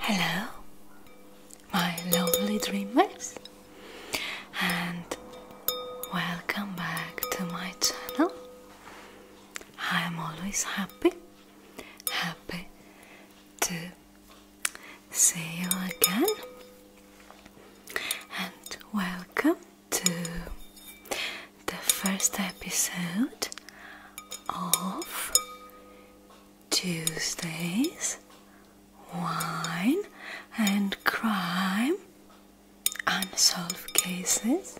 Hello, my lovely dreamers, and welcome back to my channel. I am always happy, happy to see you again, and welcome to the first episode of Tuesdays, wine and crime, unsolved cases.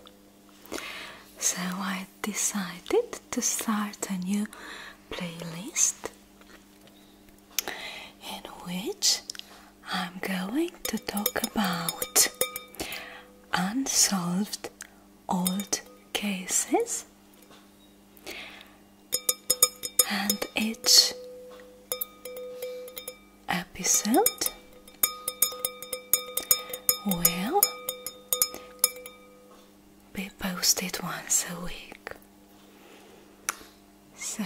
So I decided to start a new playlist in which I'm going to talk about unsolved old cases and each episode will be posted once a week. So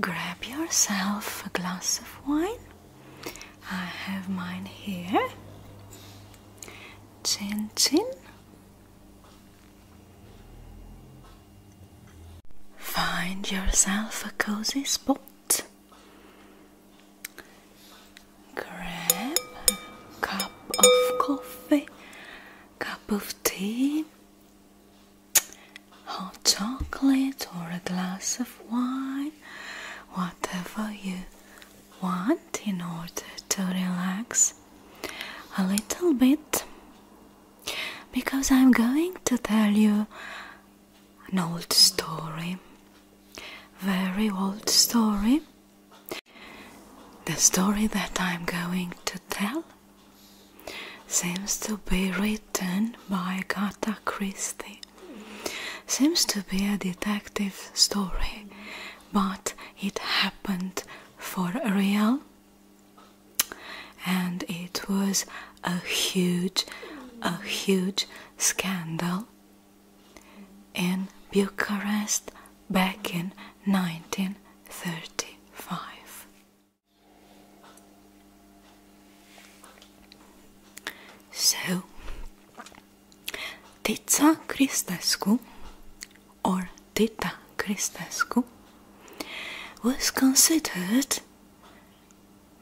grab yourself a glass of wine. I have mine here Chin Chin. Find yourself a cozy spot. Grab a cup of coffee, cup of tea, hot chocolate, or a glass of wine, whatever you want in order to relax a little bit because I'm going to tell you an old story, very old story. The story that I'm going to tell seems to be written by Agatha Christie, seems to be a detective story but it happened for real and it was a huge a huge scandal in Bucharest back in 1935 so Tița Cristescu or Tita Cristescu was considered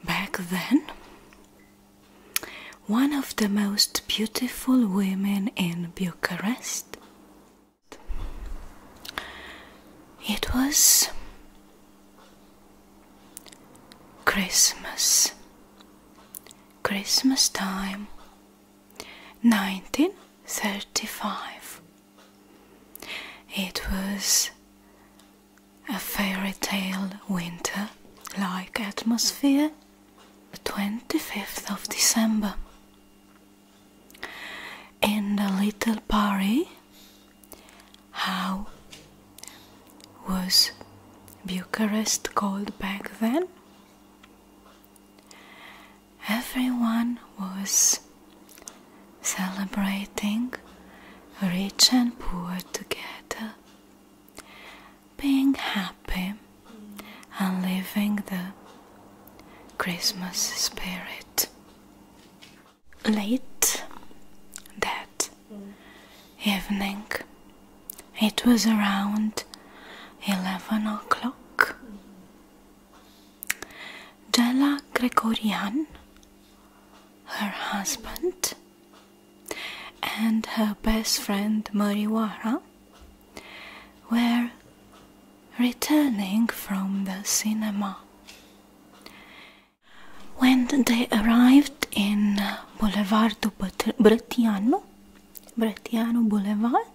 back then one of the most beautiful women in Bucharest. It was Christmas Christmas time 1935. It was a fairy tale winter like atmosphere, the 25th of December. In the little Paris, how was Bucharest called back then? Everyone was celebrating rich and poor together, being happy and living the Christmas spirit. Late that evening. It was around 11 o'clock. Della Gregorian, her husband, and her best friend Mariwara were returning from the cinema. When they arrived in Boulevard du Bratiano Boulevard.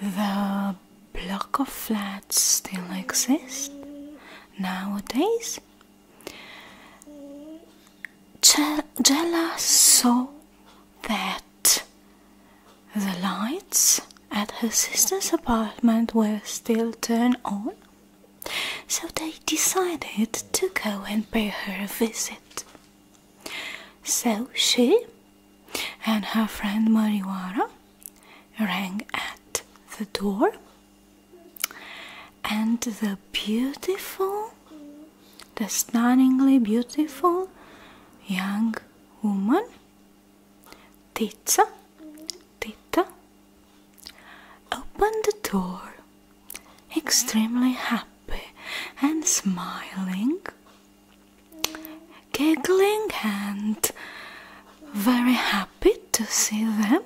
The block of flats still exists nowadays. Jella saw that the lights at her sister's apartment were still turned on, so they decided to go and pay her a visit. So she and her friend Mariwara rang at the door, and the beautiful, the stunningly beautiful young woman, Tita, Tita, opened the door extremely happy and smiling, giggling, and very happy to see them.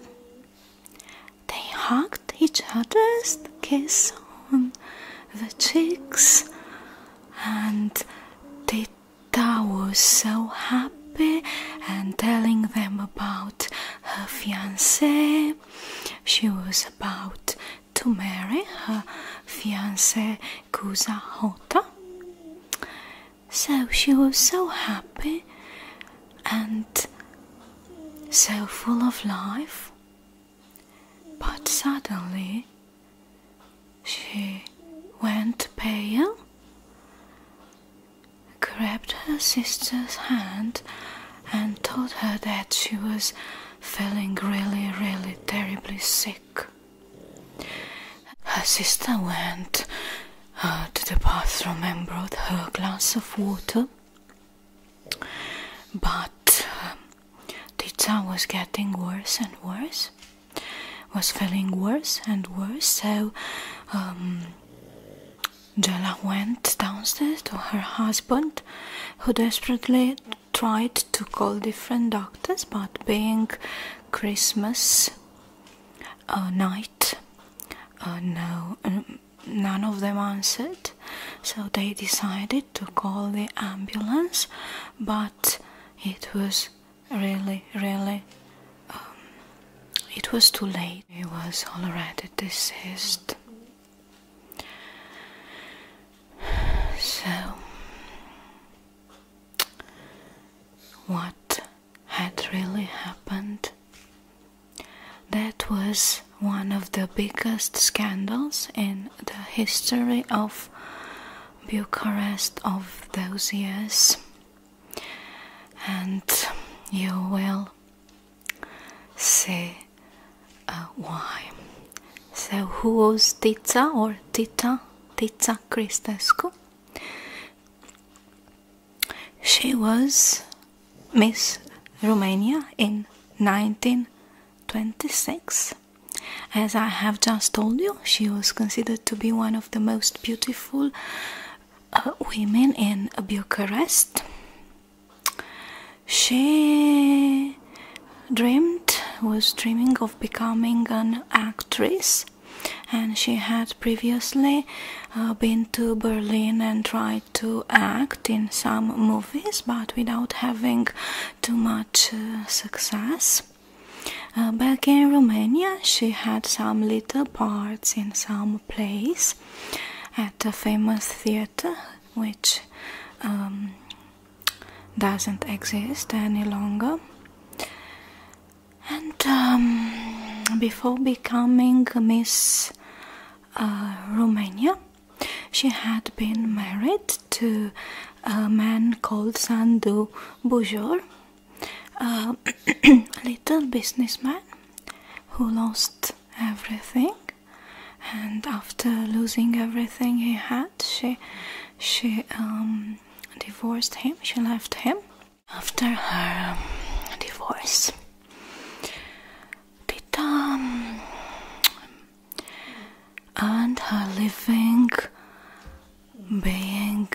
They hugged each other's kiss on the cheeks, and Tita was so happy and telling them about her fiance she was about to marry her fiancé Kusa Hota. So she was so happy and so full of life. But suddenly she went pale, grabbed her sister's hand, and told her that she was feeling really, really terribly sick. Her sister went uh, to the bathroom and brought her a glass of water, but um, Tita was getting worse and worse, was feeling worse and worse, so um, Jella went downstairs to her husband, who desperately tried to call different doctors, but being Christmas uh, night, uh, no, none of them answered. So they decided to call the ambulance, but it was really, really. Um, it was too late. He was already deceased. So, what had really happened? That was one of the biggest scandals in the history of Bucharest of those years, and you will Say, uh, why? So who was tita or tita tita Cristescu. She was Miss Romania in 1926. As I have just told you, she was considered to be one of the most beautiful uh, women in Bucharest she dreamed was dreaming of becoming an actress and she had previously uh, been to Berlin and tried to act in some movies but without having too much uh, success. Uh, back in Romania, she had some little parts in some plays at a famous theater which um, doesn't exist any longer. And um, before becoming Miss uh, Romania, she had been married to a man called Sandu Bujor, a little businessman who lost everything and after losing everything he had she she um, divorced him she left him after her um, divorce Tita um, and her living being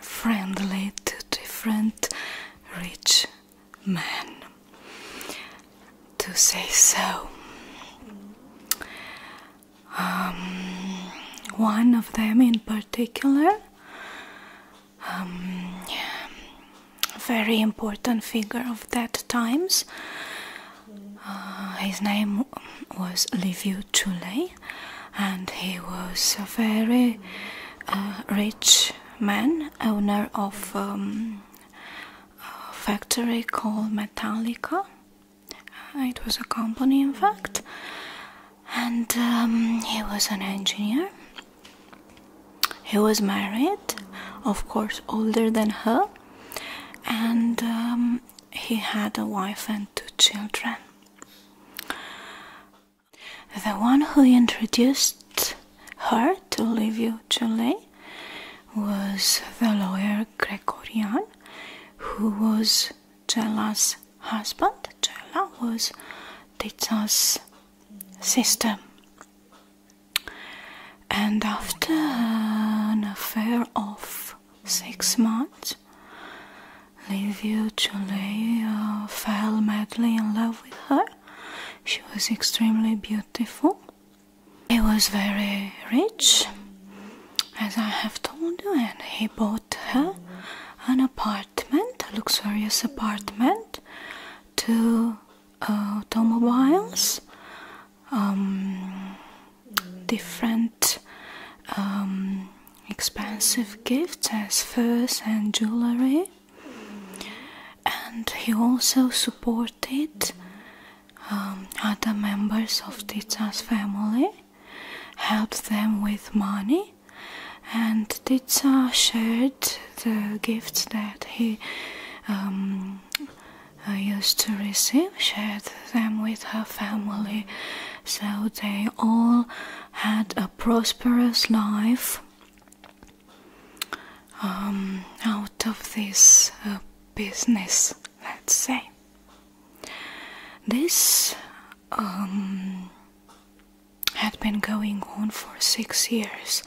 friendly to different rich man to say so. Um, one of them in particular, um, very important figure of that times. Uh, his name was Liviu Chule, and he was a very uh, rich man, owner of um, a factory called Metallica. Uh, it was a company, in fact, and um, he was an engineer. He was married, of course, older than her, and um, he had a wife and two children. The one who introduced her to Livio Giulio was the lawyer Gregorian who was Cella's husband. Cella was Tita's sister. And after an affair of six months, Livio Giulio uh, fell madly in love with her. She was extremely beautiful beautiful. He was very rich, as I have told you, and he bought her an apartment, a luxurious apartment, two uh, automobiles, um, different um, expensive gifts as furs and jewelry and he also supported um, other members of Dita's family, helped them with money, and Dita shared the gifts that he um, uh, used to receive, shared them with her family, so they all had a prosperous life um, out of this uh, business, let's say. This um, had been going on for six years.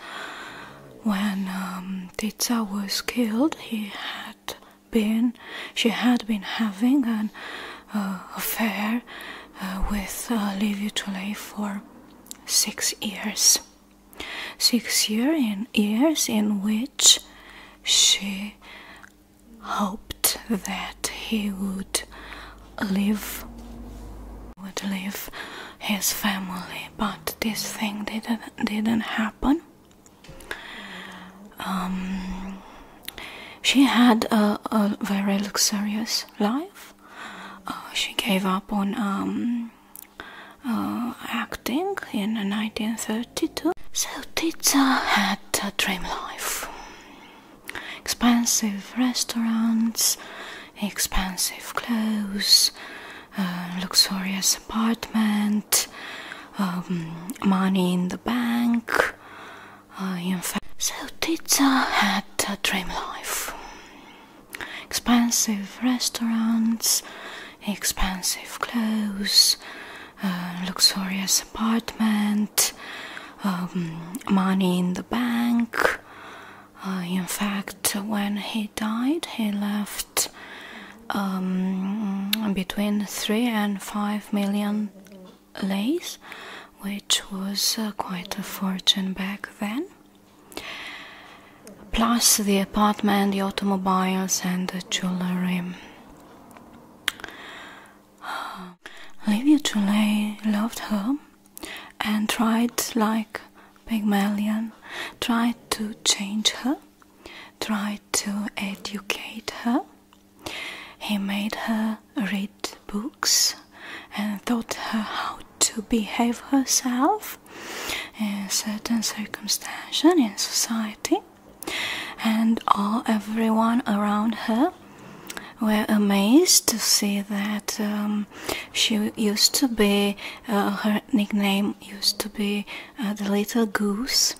When um, Tita was killed, he had been, she had been having an uh, affair uh, with uh, Livia for six years six year in years in which she hoped that he would live would leave his family but this thing didn't didn't happen um, she had a, very luxurious life uh, she gave up on um, uh, acting in 1932. So Tita had a dream life. Expensive restaurants, expensive clothes, uh, luxurious apartment, um, money in the bank. Uh, in fact, so Tita had a dream life expensive restaurants, expensive clothes, uh, luxurious apartment, um, money in the bank. Uh, in fact, when he died, he left um, between three and five million lays, which was uh, quite a fortune back then plus the apartment, the automobiles, and the jewelry. Livia Chulay loved her and tried, like Pygmalion, tried to change her, tried to educate her. He made her read books and taught her how to behave herself in certain circumstances in society and all everyone around her were amazed to see that um, she used to be uh, her nickname used to be uh, the little goose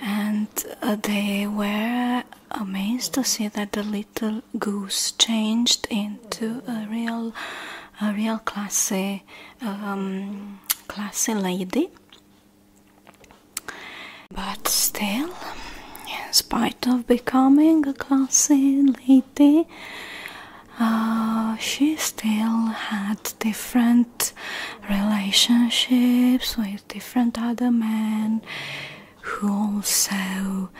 and uh, they were amazed to see that the little little goose changed into a real, a real classy, um, classy lady. But still, in spite of becoming a classy lady, uh, she still had different relationships with different other men who also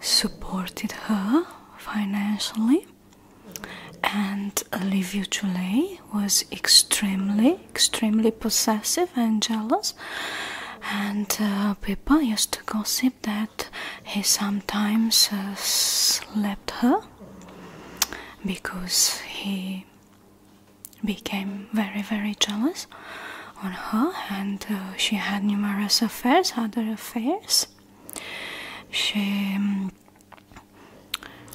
supported her financially and Livio Chulei was extremely, extremely possessive and jealous. And uh, people used to gossip that he sometimes uh, her because he became very, very jealous on her, and uh, she had numerous affairs, other affairs. She, um,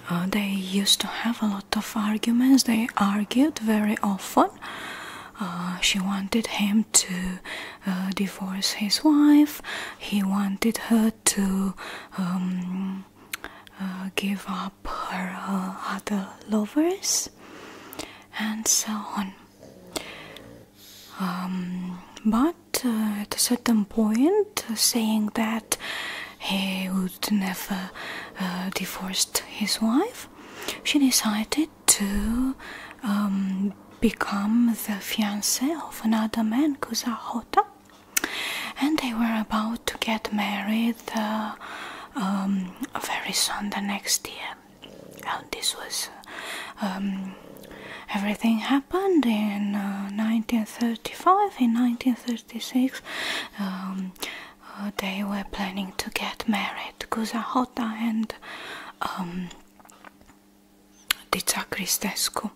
uh, they used to have a lot of arguments. They argued very often. Uh, she wanted him to divorce his wife. He wanted her to um, give up her other lovers, and so on. Um, but uh, at a certain point, uh, saying that he would never uh, divorce his wife, she decided to um, become the fiance of another man, Kuzahota, and they were about to get married um, very soon the next year this was um, everything happened in 1935. Uh, in 1936, um, uh, they were planning to get married, Kuzahota and um, Dica Cristescu.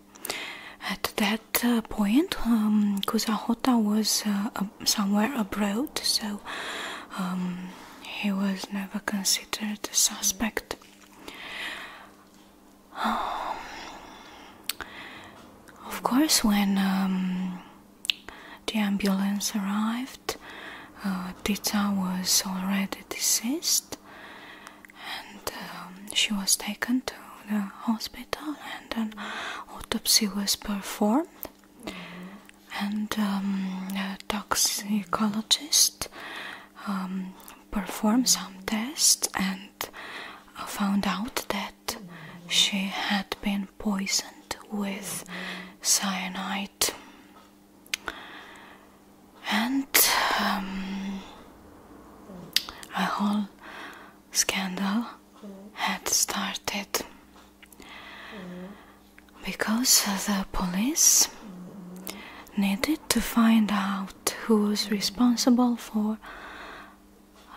At that uh, point, um, was somewhere abroad, so um, he was never considered a suspect. Um, of course, when um, the ambulance arrived, uh, Tita was already deceased, and um, she was taken to the hospital, and an autopsy was performed and um, toxicologist um, performed some tests and uh, found out that she had been poisoned with cyanide. And um, a whole scandal had started because the police needed to find out who was responsible for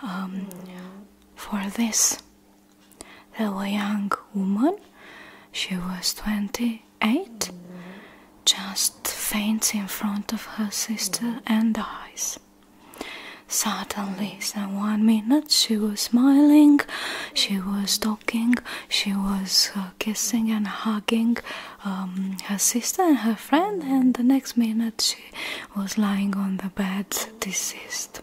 um, for this. a young woman, she was 28, just faints in front of her sister and dies. Suddenly, in one minute, she was smiling, she was talking she was uh, kissing and hugging um, her sister and her friend, and the next minute she was lying on the bed, deceased.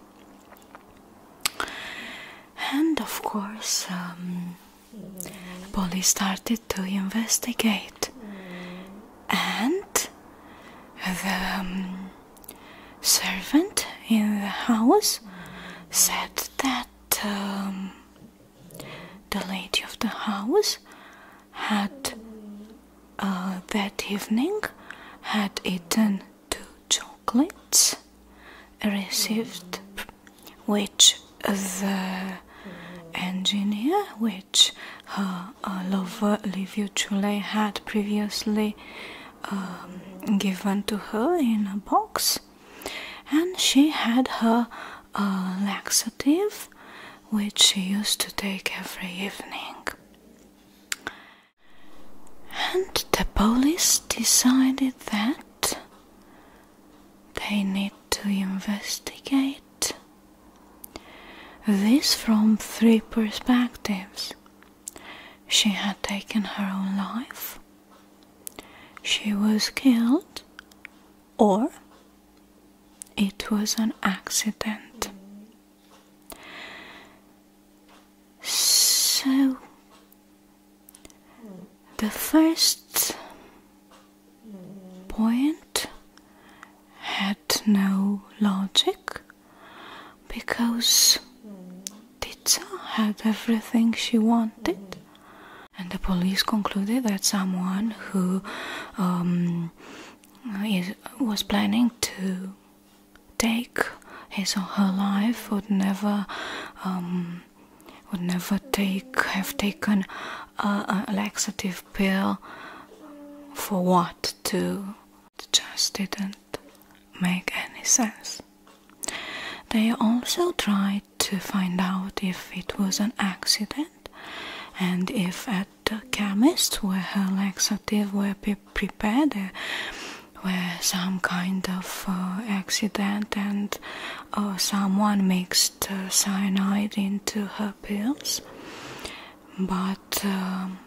And of course, um, police started to investigate, and the um, servant in the house said that um, the lady of the house had uh, that evening had eaten two chocolates received which the engineer which her uh, lover Livio Chule had previously um, given to her in a box and she had her uh, laxative which she used to take every evening and the police decided that they need to investigate this from three perspectives she had taken her own life she was killed or it was an accident. So, the first point had no logic because Titsa had everything she wanted. And the police concluded that someone who um, was planning to take his or her life would never um, would never take have taken a, laxative pill for what to just didn't make any sense. They also tried to find out if it was an accident and if at the chemist where her laxative were prepared there were some kind of uh, accident and uh, someone mixed cyanide into her pills but um,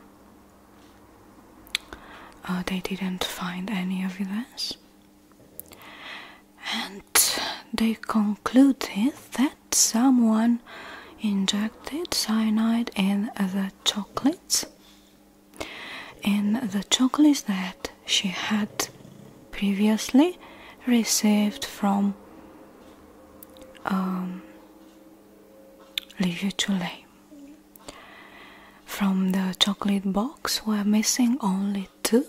uh, they didn't find any of this and they concluded that someone injected cyanide in the chocolates in the chocolates that she had previously received from um, Livia from the chocolate box, were missing only two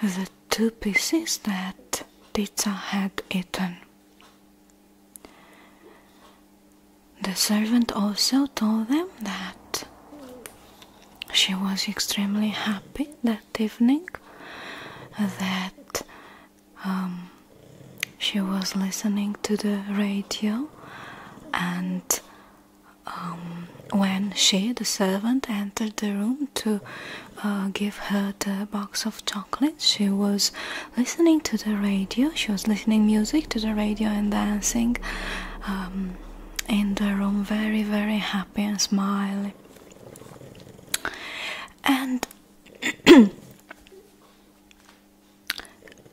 the two pieces that Tita had eaten. The servant also told them that she was extremely happy that evening, that um, she was listening to the radio and um, when she, the servant, entered the room to uh, give her the box of chocolates, she was listening to the radio. She was listening music to the radio and dancing um, in the room, very, very happy and smiling. And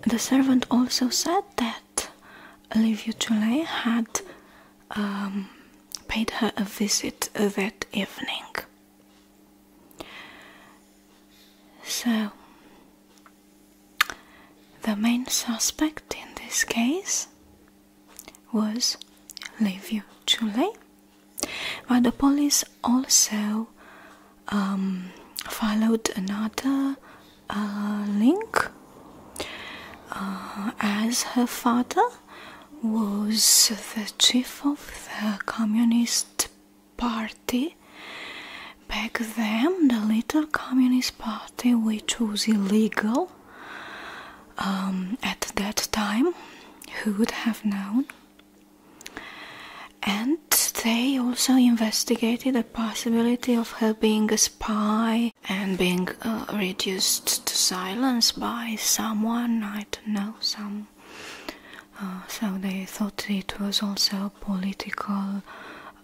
the servant also said that that Olivia Tulay had um, paid her a visit that evening. So, the main suspect in this case was Livio Chule, but the police also um, followed another uh, link uh, as her father was the chief of the Communist Party. Back then, the little Communist Party, which was illegal um, at that time, who would have known? And they also investigated the possibility of her being a spy and being uh, reduced to silence by someone, I don't know, some. Uh, so they thought it was also a political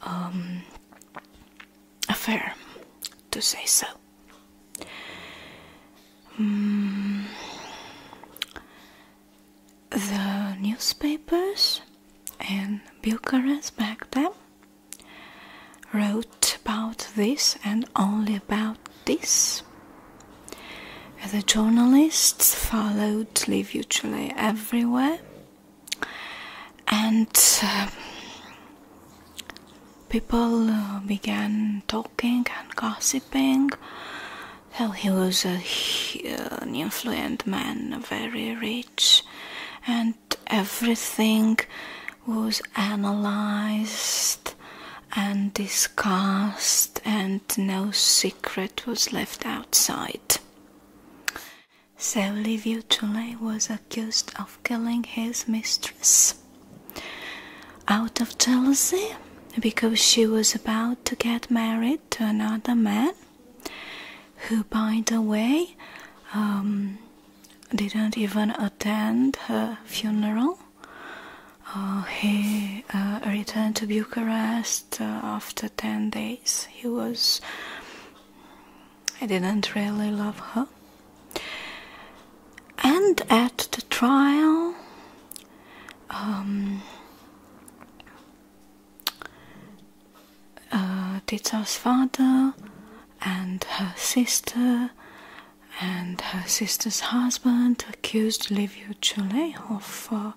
um, affair, to say so. Hmm. the newspapers and Bucharest back then wrote about this and only about this. The journalists followed Liv Uccelli everywhere, and uh, people uh, began talking and gossiping. So he was uh, an influential man, very rich, and everything was analyzed and discussed, and no secret was left outside. So, Livio Tule was accused of killing his mistress out of jealousy because she was about to get married to another man who, by the way, um, didn't even attend her funeral. Uh, he uh, returned to Bucharest uh, after 10 days. He was. didn't really love her. And at the trial, um, uh, father and her sister and her sister's husband accused Liviu Chule of uh,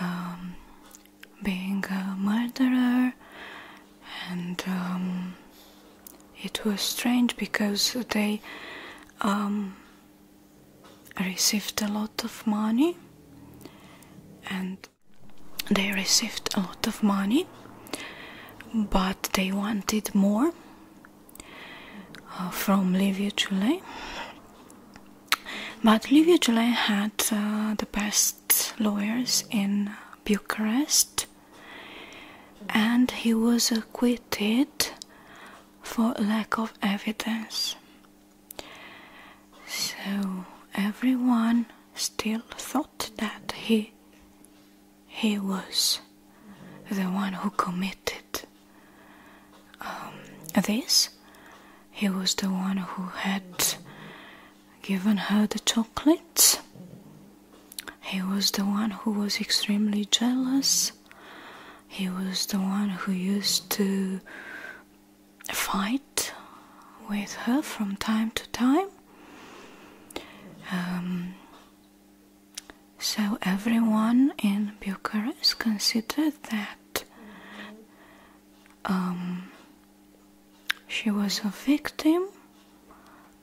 um, being a murderer, and um, it was strange because they um, received a lot of money, and they received a lot of money but they wanted more uh, from Liviu Giulei but Liviu Giulei had uh, the best lawyers in Bucharest and he was acquitted for lack of evidence so everyone still thought that he he was the one who committed um, this. He was the one who had given her the chocolate. He was the one who was extremely jealous. He was the one who used to fight with her from time to time. Um, so everyone in Bucharest considered that um, she was a victim,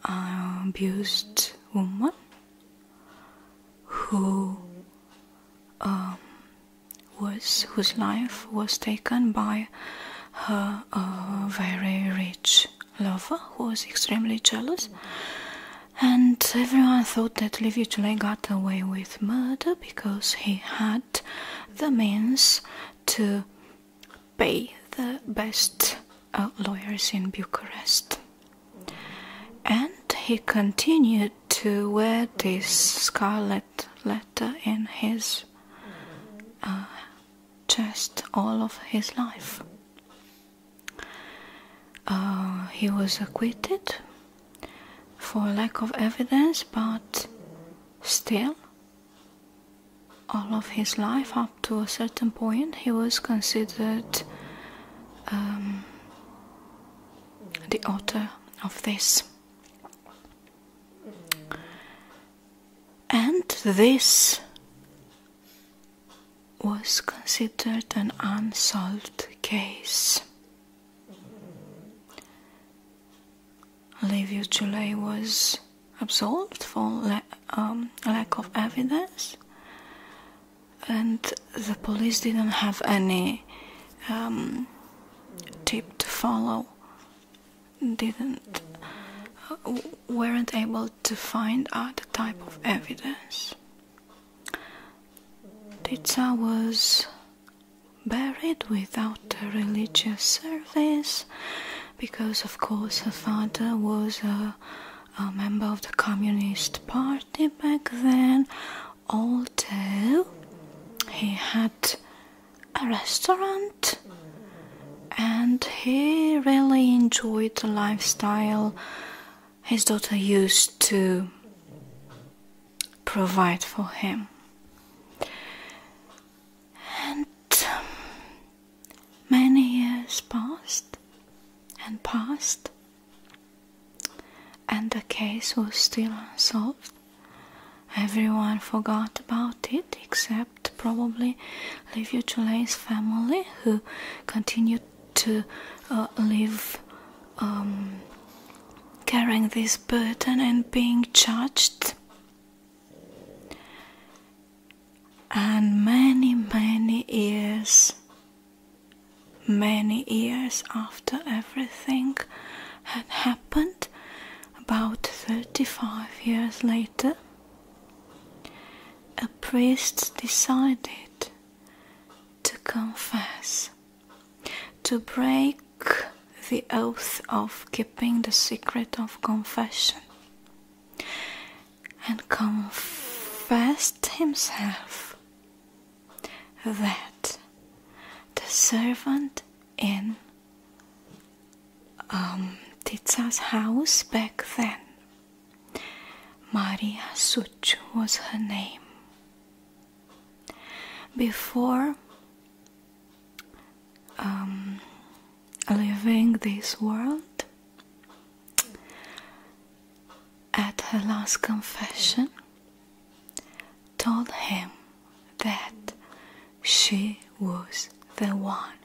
an abused woman who um, was whose life was taken by her very rich lover who was extremely jealous. And everyone thought that Liviu Giulai got away with murder because he had the means to pay the best uh, lawyers in Bucharest. And he continued to wear this scarlet letter in his uh, chest all of his life. Uh, he was acquitted for lack of evidence, but still, all of his life up to a certain point, he was considered um, the author of this. And this was considered an unsolved case. Livio Giulei was absolved for um, lack of evidence, and the police didn't have any um, tip to follow didn't uh, weren't able to find other type of evidence. Titsa was buried without a religious service because of course her father was a, a member of the Communist Party back then although he had a restaurant and he really enjoyed the lifestyle his daughter used to provide for him. And um, many years passed and passed, and the case was still unsolved. Everyone forgot about it except probably Livio Chule's family, who continued to uh, live um, carrying this burden and being judged. And many, many years, many years after everything had happened about 35 years later. A priest decided to confess, to break the oath of keeping the secret of confession, and confessed himself that the servant in Tita's um, house back then. Maria Such was her name. Before um, leaving this world, at her last confession, told him that she was the one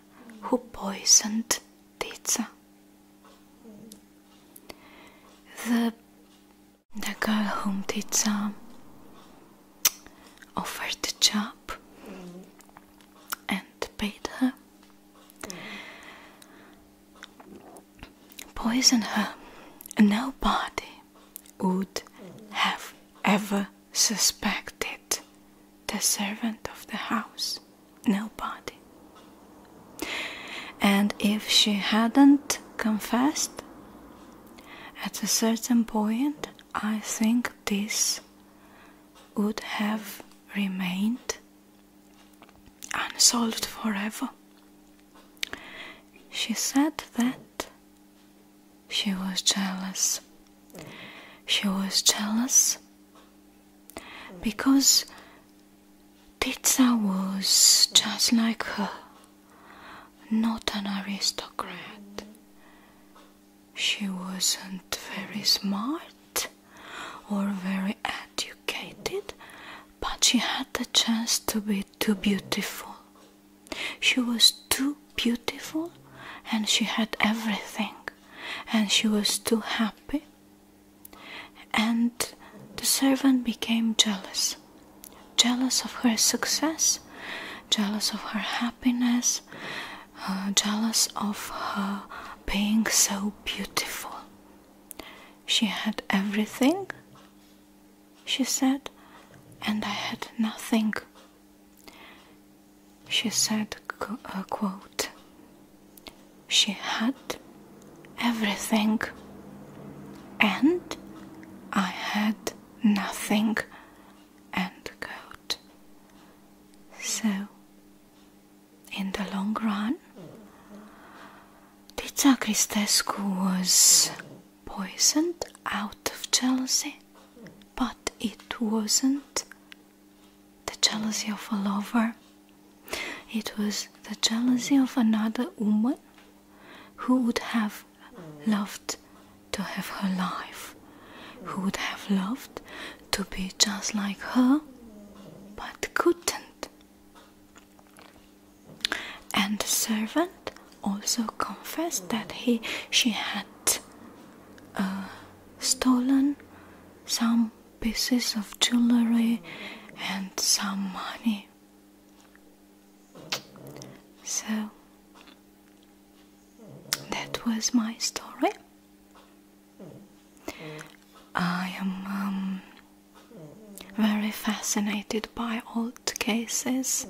who poisoned Titsa. The, the girl whom Titsa offered the job and paid her poison her. Nobody would have ever suspected the servant of the house. Nobody. And if she hadn't confessed, at a certain point, I think this would have remained unsolved forever. She said that she was jealous. She was jealous because Titsa was just like her, not an aristocrat. She wasn't very smart or very educated, but she had the chance to be too beautiful she was too beautiful and she had everything, and she was too happy. And the servant became jealous jealous of her success, jealous of her happiness, uh, jealous of her being so beautiful. She had everything, she said, and I had nothing. She said, uh, quote, she had everything and I had nothing, end quote. So, in the long run, Tita Cristescu was poisoned out of jealousy but it wasn't the jealousy of a lover, it was the jealousy of another woman who would have loved to have her life, who would have loved to be just like her, but couldn't. And the servant also confessed that he she had uh, stolen some pieces of jewelry and some money. So that was my story. I am um, very fascinated by old cases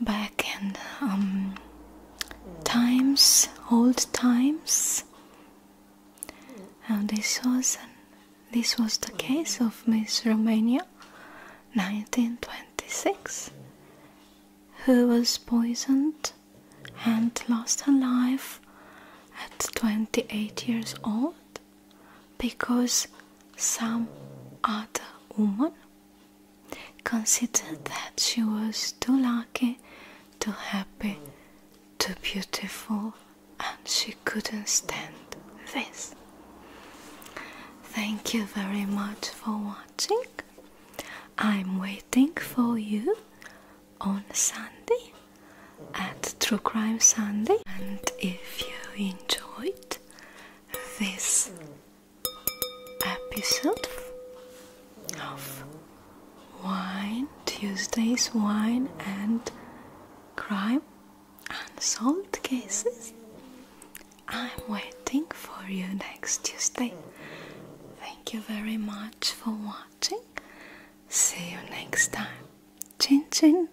back in um, times, old times. Now this was this was the case of Miss Romania, 1926, who was poisoned and lost her life at 28 years old because some other woman considered that she was too lucky, too happy, too beautiful, and she couldn't stand this. Thank you very much for watching. I'm waiting for you on Sunday at True Crime Sunday. And if you enjoyed this episode of Wine Tuesdays Wine and Crime Unsolved Cases. I'm waiting for you next Tuesday. Thank you very much for watching. See you next time. Chin chin.